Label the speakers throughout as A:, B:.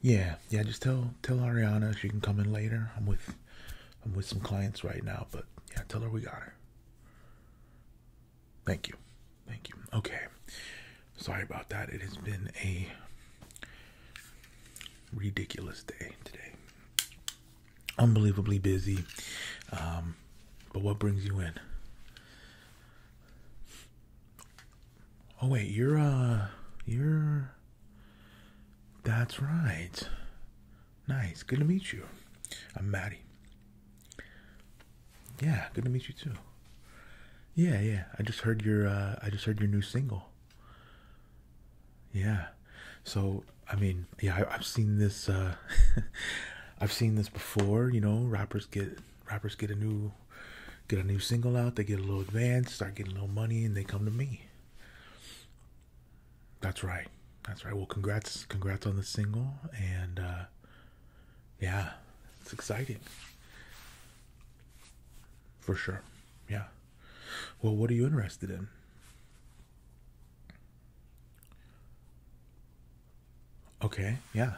A: Yeah, yeah. Just tell tell Ariana she can come in later. I'm with I'm with some clients right now, but yeah, tell her we got her. Thank you, thank you. Okay, sorry about that. It has been a ridiculous day today. Unbelievably busy. Um, but what brings you in? Oh wait, you're uh you're That's right. Nice. Good to meet you. I'm Maddie. Yeah, good to meet you too. Yeah, yeah. I just heard your uh I just heard your new single. Yeah. So, I mean, yeah, I, I've seen this uh I've seen this before, you know, rappers get rappers get a new get a new single out, they get a little advance, start getting a little money, and they come to me. That's right. That's right. Well, congrats, congrats on the single, and uh, yeah, it's exciting for sure. Yeah. Well, what are you interested in? Okay. Yeah.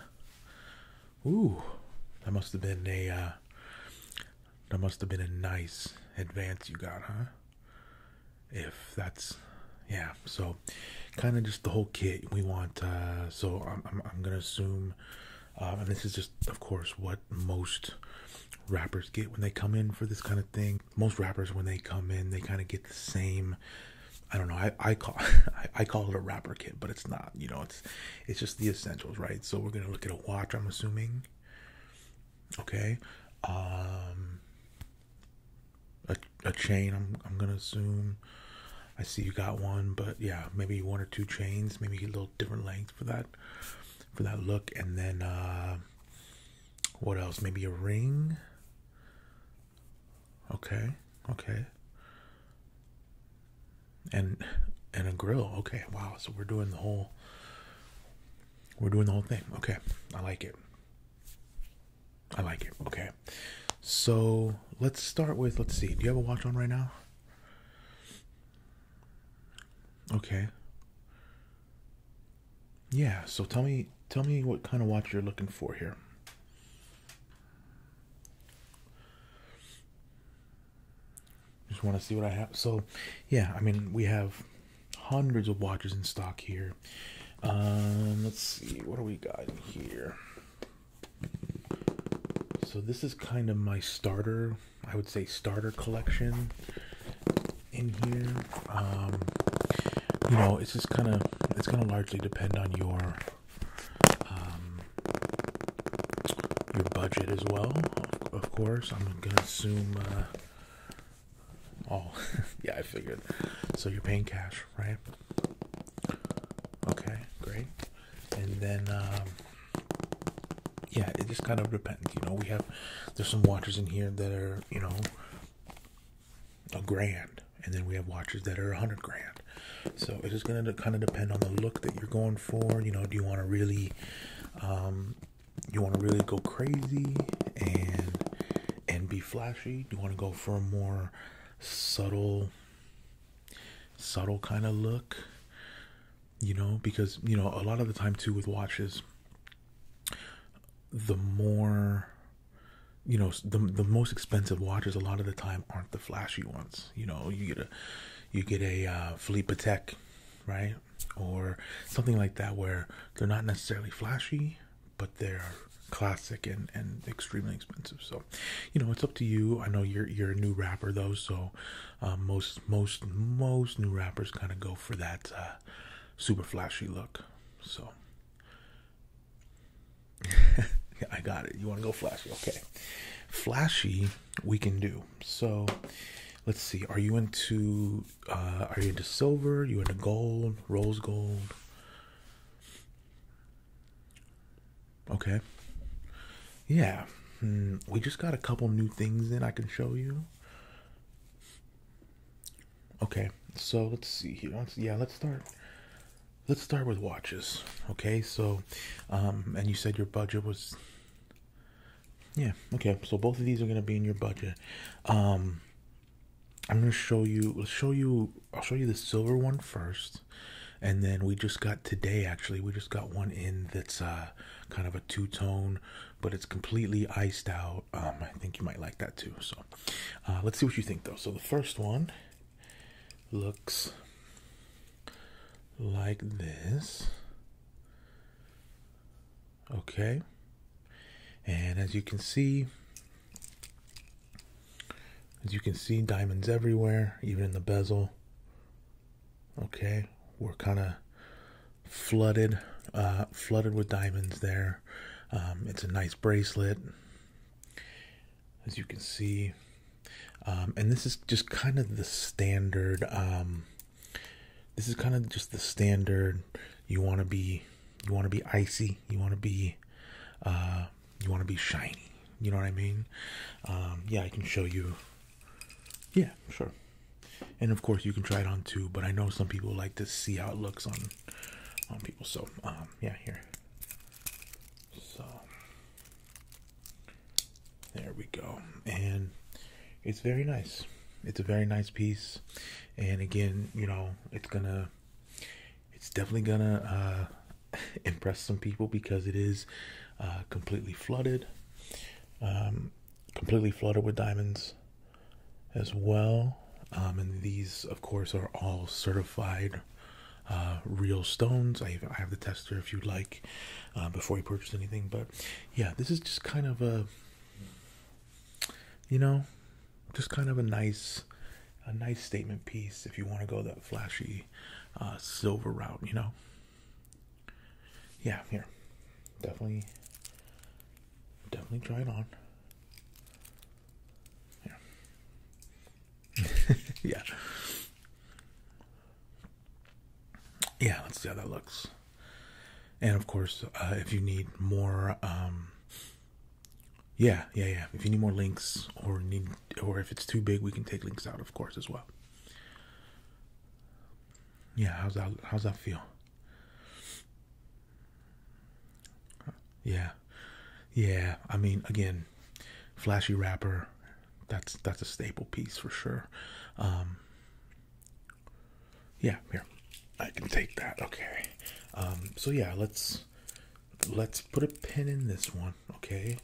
A: Ooh, that must have been a. Uh, that must have been a nice advance you got, huh? If that's yeah, so kind of just the whole kit we want. Uh, so I'm, I'm, I'm gonna assume, uh, and this is just, of course, what most rappers get when they come in for this kind of thing. Most rappers, when they come in, they kind of get the same. I don't know. I, I call I call it a rapper kit, but it's not. You know, it's it's just the essentials, right? So we're gonna look at a watch, I'm assuming. Okay. Um a, a chain, I'm I'm gonna assume. I see you got one, but yeah, maybe one or two chains, maybe a little different length for that for that look, and then uh what else? Maybe a ring. Okay, okay and and a grill. Okay, wow. So we're doing the whole we're doing the whole thing. Okay. I like it. I like it. Okay. So let's start with let's see. Do you have a watch on right now? Okay. Yeah, so tell me tell me what kind of watch you're looking for here just want to see what I have. So, yeah, I mean, we have hundreds of watches in stock here. Um, let's see, what do we got here? So this is kind of my starter, I would say starter collection in here. Um, you know, it's just kind of, it's going to largely depend on your, um, your budget as well. Of, course, I'm gonna assume. Uh, all. yeah, I figured. So you're paying cash, right? Okay, great. And then, um, yeah, it just kind of depends. You know, we have there's some watches in here that are you know a grand, and then we have watches that are a hundred grand. So it is gonna kind of depend on the look that you're going for. You know, do you want to really, um, you want to really go crazy and and be flashy? Do you want to go for a more subtle, subtle kind of look? You know, because you know a lot of the time too with watches, the more you know the the most expensive watches a lot of the time aren't the flashy ones you know you get a you get a uh, Philippa Tech, right? Or something like that, where they're not necessarily flashy, but they're classic and, and extremely expensive. So, you know, it's up to you. I know you're you're a new rapper though, so uh, most most most new rappers kind of go for that uh, super flashy look. So, I got it. You want to go flashy? Okay, flashy we can do. So let's see. Are you into uh, are you into silver? You into gold, rose gold? Okay. Yeah. Hmm. We just got a couple new things in I can show you. Okay. So let's see here. let yeah, let's start let's start with watches okay so um, and you said your budget was yeah okay so both of these are going to be in your budget um, i'm going to show you I'll show you i'll show you the silver one first and then we just got today actually we just got one in that's uh, kind of a two-tone but it's completely iced out um, i think you might like that too so uh, let's see what you think though so the first one looks like this. Okay. And as you can see, as you can see, diamonds everywhere, even in the bezel. Okay, we're kind of flooded, uh, flooded with diamonds there. Um, it's a nice bracelet. As you can see, um, and this is just kind of the standard. Um, this is kind of just the standard. You want to be, you want to be icy. You want to be, uh, you want to be shiny. You know what I mean? Um, yeah, I can show you. Yeah, sure. And of course, you can try it on too. But I know some people like to see how it looks on on people. So yeah, here. So there we go. And it's very nice. It's a very nice piece. And again, you know, it's gonna it's definitely gonna uh impress some people because it is uh, completely flooded. Um, completely flooded with diamonds as well. Um, and these, of course, are all certified uh, real stones. I, I have the tester if you'd like. Um, before you purchase anything. But yeah, this is just kind of a, you know, just kind of a nice, a nice statement piece if you want to go that flashy uh, silver route, you know. Yeah, here, definitely, definitely try it on. yeah yeah, let's see how that looks. And of course, uh, if you need more, um, yeah, yeah, yeah. If you need more links or need, or if it's too big, we can take links out, of course, as well. Yeah, how's that? How's that feel? Yeah, yeah. I mean, again, flashy rapper that's that's a staple piece for sure. Um, yeah, here I can take that. Okay. Um, so yeah, let's let's put a pin in this one. Okay,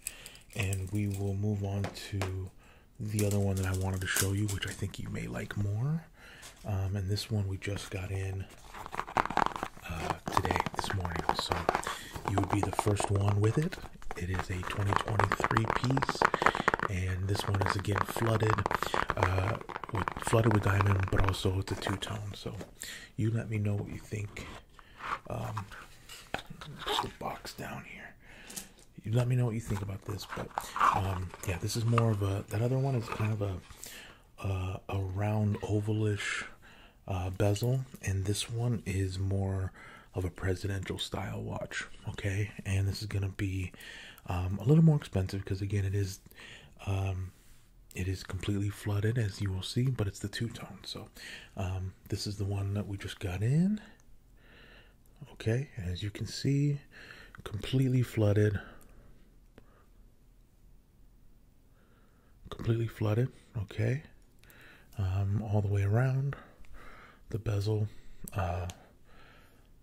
A: and we will move on to the other one that I wanted to show you, which I think you may like more. Um, and this one we just got in uh, today, this morning. So you would be the first one with it. It is a 2023 piece, and this one is again flooded, uh, with flooded with diamond, but also it's a two tone. So, you let me know what you think. Um, box down here. You let me know what you think about this, but um, yeah, this is more of a that other one is kind of a uh, a round ovalish uh, bezel, and this one is more of a presidential style watch. Okay, and this is gonna be um, a little more expensive because again, it is um, it is completely flooded as you will see, but it's the two tone. So um, this is the one that we just got in. Okay, as you can see, completely flooded. Completely flooded. Okay. Um, all the way around. The bezel, uh,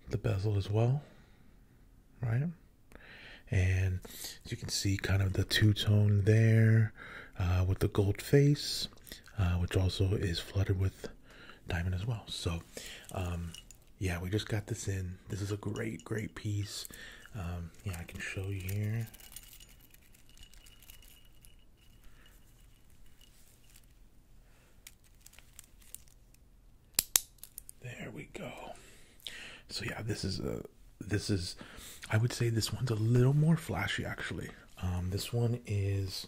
A: the bezel as well, right? And you can see kind of the two tone there uh, with the gold face, uh, which also is flooded with diamond as well. So, um, yeah, we just got this in. This is a great, great piece. Um, yeah, I can show you here. There we go. So yeah, this is a this is I would say this one's a little more flashy actually. Um, this one is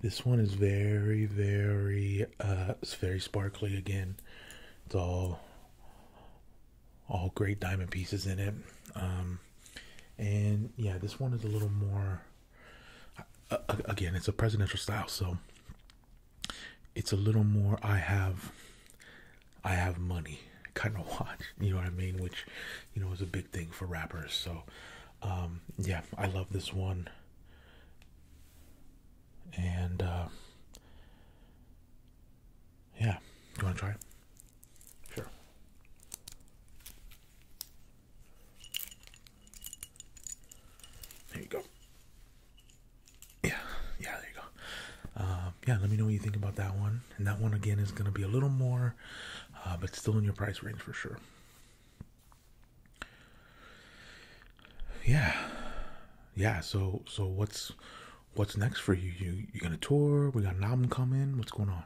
A: this one is very very uh it's very sparkly again. It's all all great diamond pieces in it. Um, and yeah, this one is a little more. again, it's a presidential style, so it's a little more. I have, I have money kind of watch. You know what I mean? Which, you know, is a big thing for rappers. So, um, yeah, I love this one. And uh, yeah, you want to try it? Sure. There you go. Yeah, yeah, there you go. Um, yeah, let me know what you think about that one. And that one again is going to be a little more, uh, but still in your price range for sure. Yeah, yeah. So, so what's what's next for you? You you gonna tour? We got an album coming? What's going on?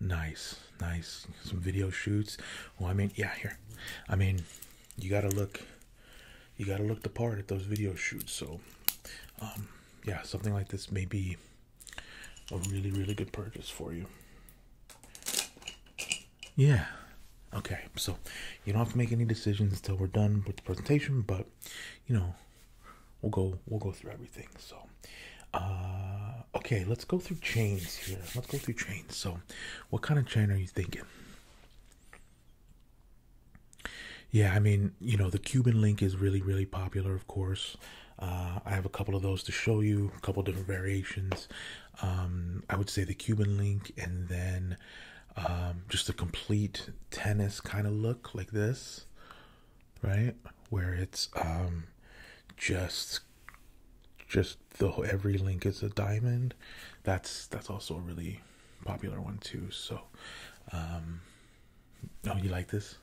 A: Nice, nice. Some video shoots. Well, I mean, yeah, here. I mean, you gotta look. You gotta look the part at those video shoots. So, um, yeah, something like this may be a really, really good purchase for you. Yeah, Okay, so you don't have to make any decisions until we're done with the presentation, but you know, we'll go we'll go through everything. So, uh, okay, let's go through chains here. Let's go through chains. So, what kind of chain are you thinking? Yeah, I mean, you know, the Cuban link is really really popular, of course. Uh, I have a couple of those to show you, a couple different variations. Um, I would say the Cuban link, and then um, just a complete tennis kind of look like this, right? Where it's um, just just the every link is a diamond. That's that's also a really popular one too. So, um, oh, you like this?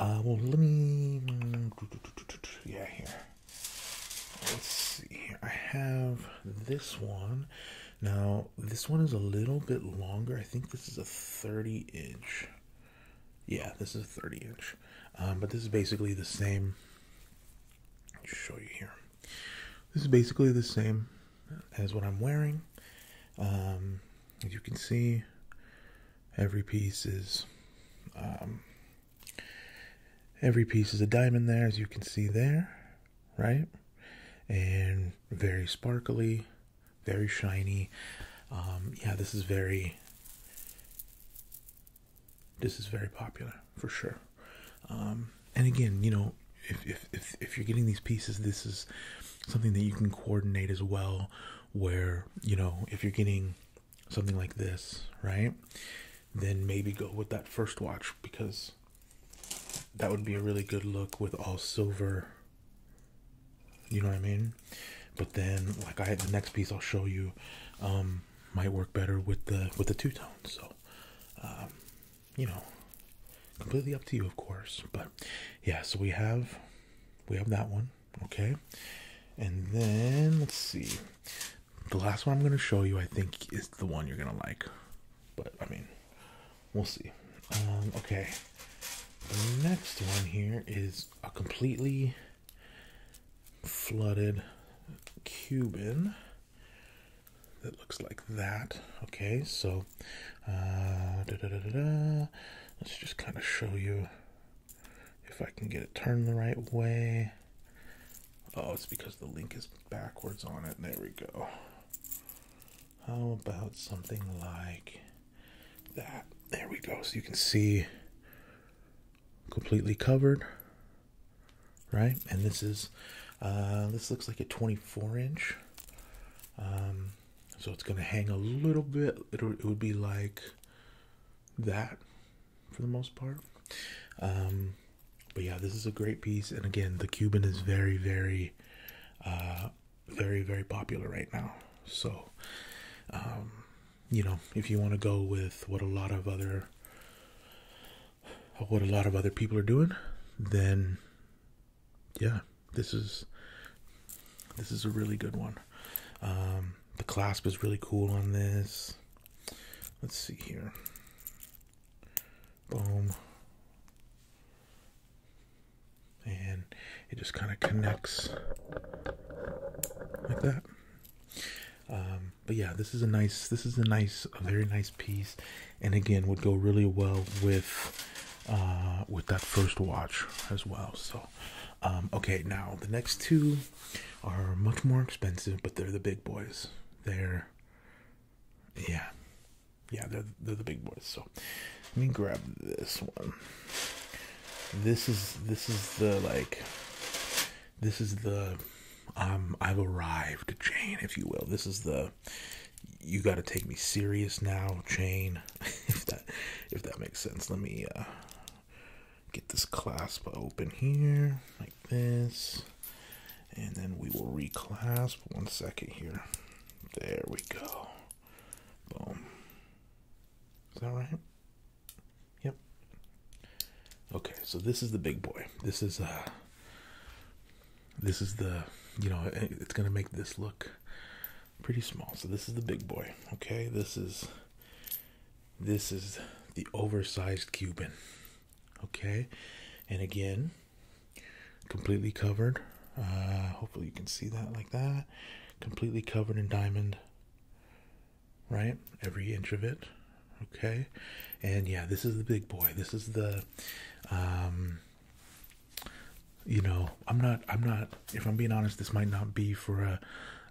A: Uh, well, let me. Yeah, here. Let's see. Here. I have this one. Now, this one is a little bit longer. I think this is a 30 inch. Yeah, this is a 30 inch. Um, but this is basically the same. I'll show you here. This is basically the same as what I'm wearing. Um, as you can see, every piece is. Um, every piece is a diamond there, as you can see there right? And very sparkly, very shiny. Um, yeah, this is very this is very popular for sure. Um, and again, you know, if, if, if if you're getting these pieces, this is something that you can coordinate as well. Where you know, if you're getting something like this, right? Then maybe go with that first watch because that would be a really good look with all silver. You know what I mean? But then, like I had the next piece I'll show you, um, might work better with the with the two tones. So, um, you know, completely up to you, of course. But yeah, so we have we have that one, okay. And then let's see, the last one I'm gonna show you, I think, is the one you're gonna like. But I mean, we'll see. Um, okay, the next one here is a completely flooded Cuban that looks like that. Okay, so uh, let's just kind of show you if I can get it turned the right way. Oh, it's because the link is backwards on it. There we go. How about something like that? There we go. So you can see completely covered, right? And this is, uh, this looks like a 24 inch. Um, so it's going to hang a little bit. It, it would be like that for the most part. Um, but yeah, this is a great piece, and again, the Cuban is very, very, uh, very, very popular right now. So, um, you know, if you want to go with what a lot of other what a lot of other people are doing, then yeah, this is this is a really good one. Um, the clasp is really cool on this. Let's see here. Boom. And it just kind of connects like that. Um, but yeah, this is a nice, this is a nice, a very nice piece, and again would go really well with uh, with that first watch as well. So, um, okay, now the next two are much more expensive, but they're the big boys. They're yeah. Yeah, they're, they're the big boys. So let me grab this one. This is this is the like this is the um I've arrived Jane, if you will. This is the you got to take me serious now, Jane. if that if that makes sense. Let me uh get this clasp open here this. And then we will reclasp. One second here. There we go. Boom. Is that right? Yep. Okay, so this is the big boy. This is uh this is the you know it's gonna make this look pretty small. So this is the big boy. Okay, this is this is the oversized Cuban okay and again completely covered uh, hopefully you can see that like that completely covered in diamond right every inch of it okay and yeah this is the big boy this is the um you know i'm not i'm not if i'm being honest this might not be for a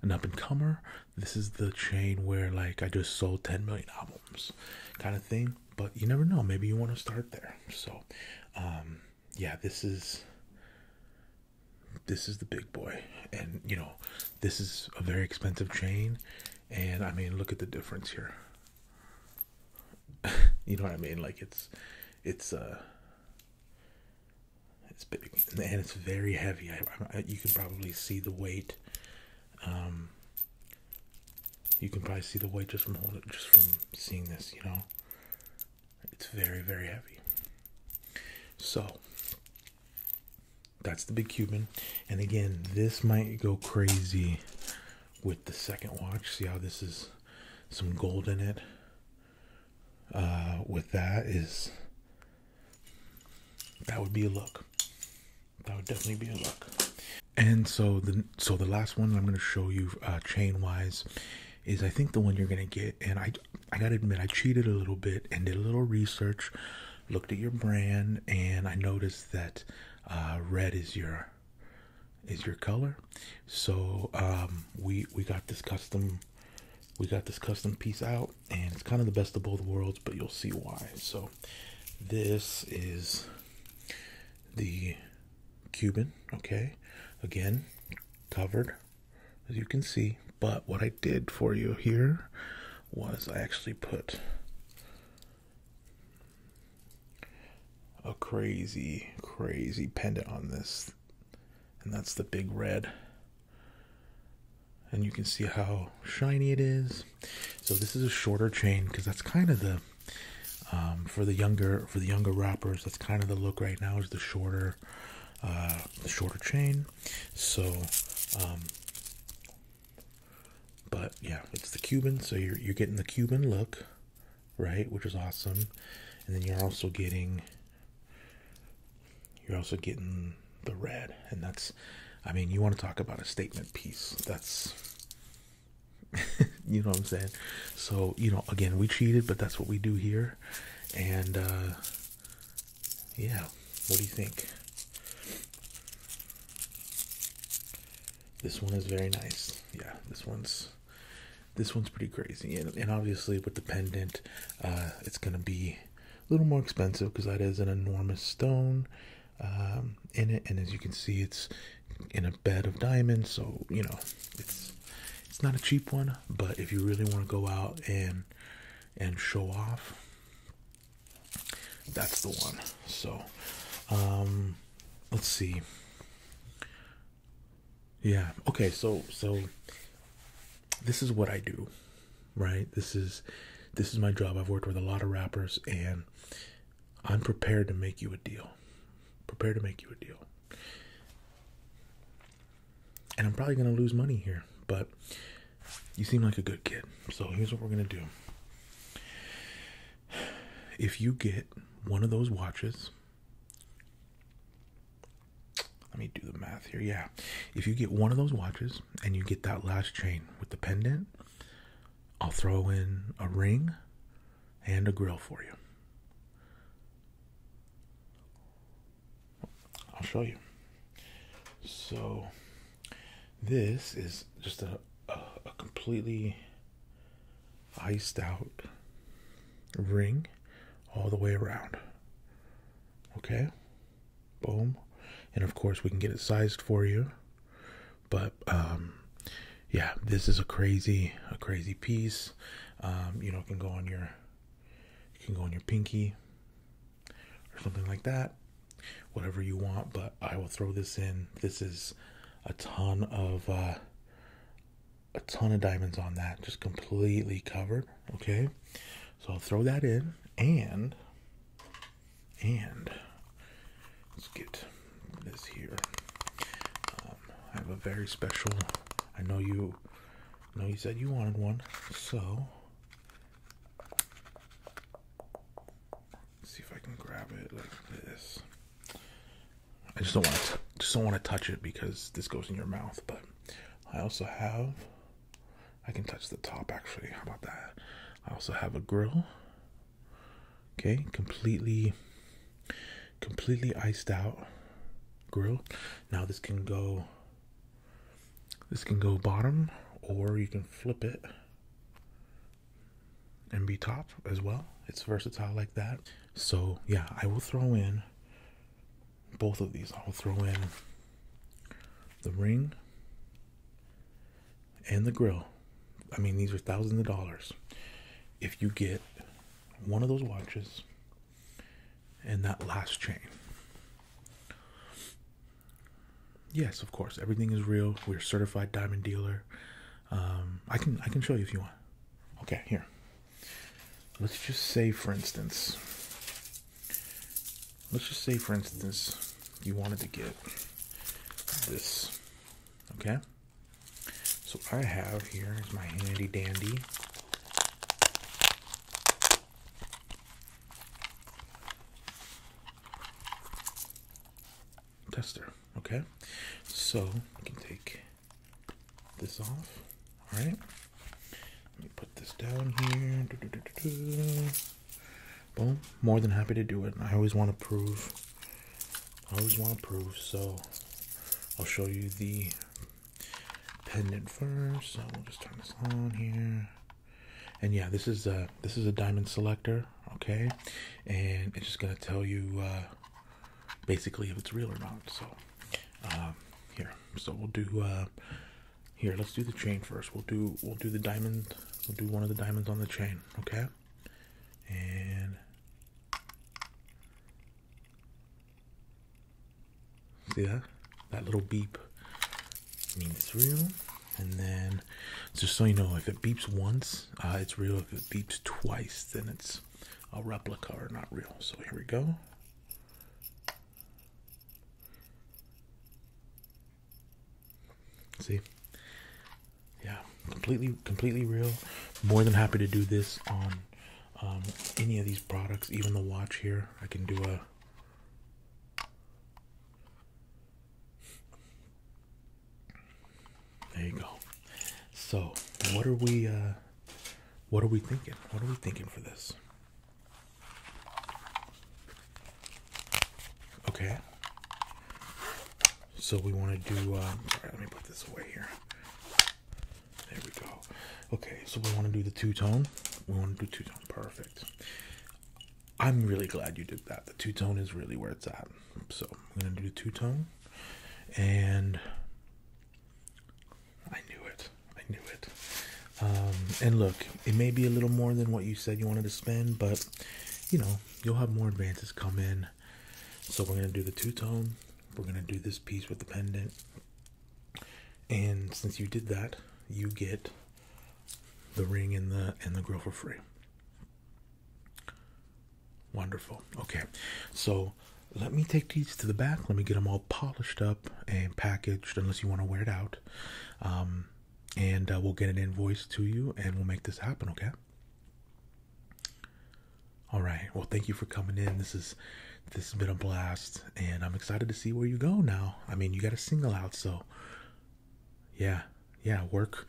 A: an up and comer this is the chain where like i just sold 10 million albums kind of thing but you never know. Maybe you want to start there. So, um, yeah, this is this is the big boy, and you know, this is a very expensive chain. And I mean, look at the difference here. you know what I mean? Like it's it's uh it's big and it's very heavy. you can probably see the weight. Um, you can probably see the weight just from holding, it, just from seeing this. You know, it's very, very heavy. So that's the big Cuban. And again, this might go crazy with the second watch. See how this is some gold in it. Uh, with that is that would be a look that would definitely be a look. And so the so the last one I'm going to show you uh, chain wise is I think the one you're going to get. And I I gotta admit I cheated a little bit and did a little research, looked at your brand, and I noticed that uh, red is your is your color. So um, we we got this custom we got this custom piece out and it's kind of the best of both worlds but you'll see why so this is the Cuban, okay? Again, covered as you can see, but what I did for you here was I actually put a crazy, crazy pendant on this, and that's the big red. And you can see how shiny it is. So this is a shorter chain because that's kind of the um, for the younger for the younger rappers. That's kind of the look right now is the shorter uh, the shorter chain. So, um, but yeah, it's the Cuban. So you're you're getting the Cuban look, right? Which is awesome, and then you're also getting you're also getting the red, and that's I mean, you want to talk about a statement piece. That's you know what I'm saying. So, you know, again, we cheated, but that's what we do here. And uh yeah, what do you think? This one is very nice. Yeah, this one's this one's pretty crazy. And, and obviously with the pendant, uh it's going to be a little more expensive because that is an enormous stone um, in it, and as you can see, it's in a bed of diamonds. So you know, it's it's not a cheap one, but if you really want to go out and and show off, that's the one. So um, let's see. Yeah. Okay. So so this is what I do, right? This is this is my job. I've worked with a lot of rappers and I'm prepared to make you a deal. Prepared to make you a deal. And I'm probably going to lose money here, but you seem like a good kid. So here's what we're going to do. If you get one of those watches, let me do the math here. Yeah. If you get one of those watches and you get that last chain with the pendant, I'll throw in a ring and a grill for you. I'll show you. So, this is just a, a, completely iced out ring all the way around. Okay? Boom. And of course, we can get it sized for you but um yeah this is a crazy a crazy piece um you know can go on your can go on your pinky or something like that whatever you want but i will throw this in this is a ton of uh a ton of diamonds on that just completely covered okay so i'll throw that in and and let's get this here. Um, I have a very special. I know you. I know you said you wanted one, so see if I can grab it like this. I just don't want Just don't want to touch it because this goes in your mouth. But I also have. I can touch the top actually. How about that? I also have a grill okay completely completely iced out grill now this can go this can go bottom or you can flip it and be top as well it's versatile like that so yeah i will throw in both of these i'll throw in the ring and the grill. I mean, these are thousands of dollars. If you get one of those watches and that last chain. Yes, of course, everything is real. We're certified diamond dealer. Um, I can I can show you if you want. Okay, here. Let's just say, for instance, let's just say, for instance, you wanted to get this. Okay? So I have here is my handy dandy tester. Okay? So I can take this off. Alright? Let me put this down here. Boom. More than happy to do it. I always want to prove. I always want to prove. So I'll show you the pendant first. So we'll just turn this on here. And yeah, this is a this is a diamond selector, okay? And it's just gonna tell you uh, basically if it's real or not. So um, here, so we'll do uh, here. Let's do the chain first. We'll do we'll do the diamond we'll do one of the diamonds on the chain, okay? And see that? That little beep means it's real. And then, just so you know, if it beeps once, uh, it's real. If it beeps twice, then it's a replica or not real. So here we go. See, yeah, completely, completely real. More than happy to do this on um, any of these products, even the watch here. I can do a there you go. So, what are we, uh, what are we thinking? What are we thinking for this? Okay. So we want to do. Um, all right, let me put this away here. There we go. Okay, so we want to do the two tone. We want to do two tone. Perfect. I'm really glad you did that. The two tone is really where it's at. So I'm gonna do the two tone, and I knew it. I knew it. Um, and look, it may be a little more than what you said you wanted to spend, but you know, you'll have more advances come in. So we're gonna do the two tone. We're gonna do this piece with the pendant. And since you did that, you get the ring and the and the grill for free. Wonderful. Okay, so let me take these to the back. Let me get them all polished up and packaged, unless you want to wear it out. Um, and uh, we'll get an invoice to you and we'll make this happen okay all right well thank you for coming in this is this has been a blast and i'm excited to see where you go now i mean you got a single out so yeah yeah work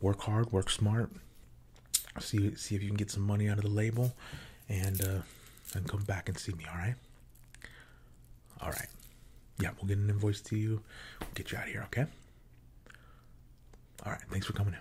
A: work hard work smart see see if you can get some money out of the label and uh and come back and see me all right all right. Yeah, we'll get an invoice to you. We'll get you out of here, okay? All right. Thanks for coming in.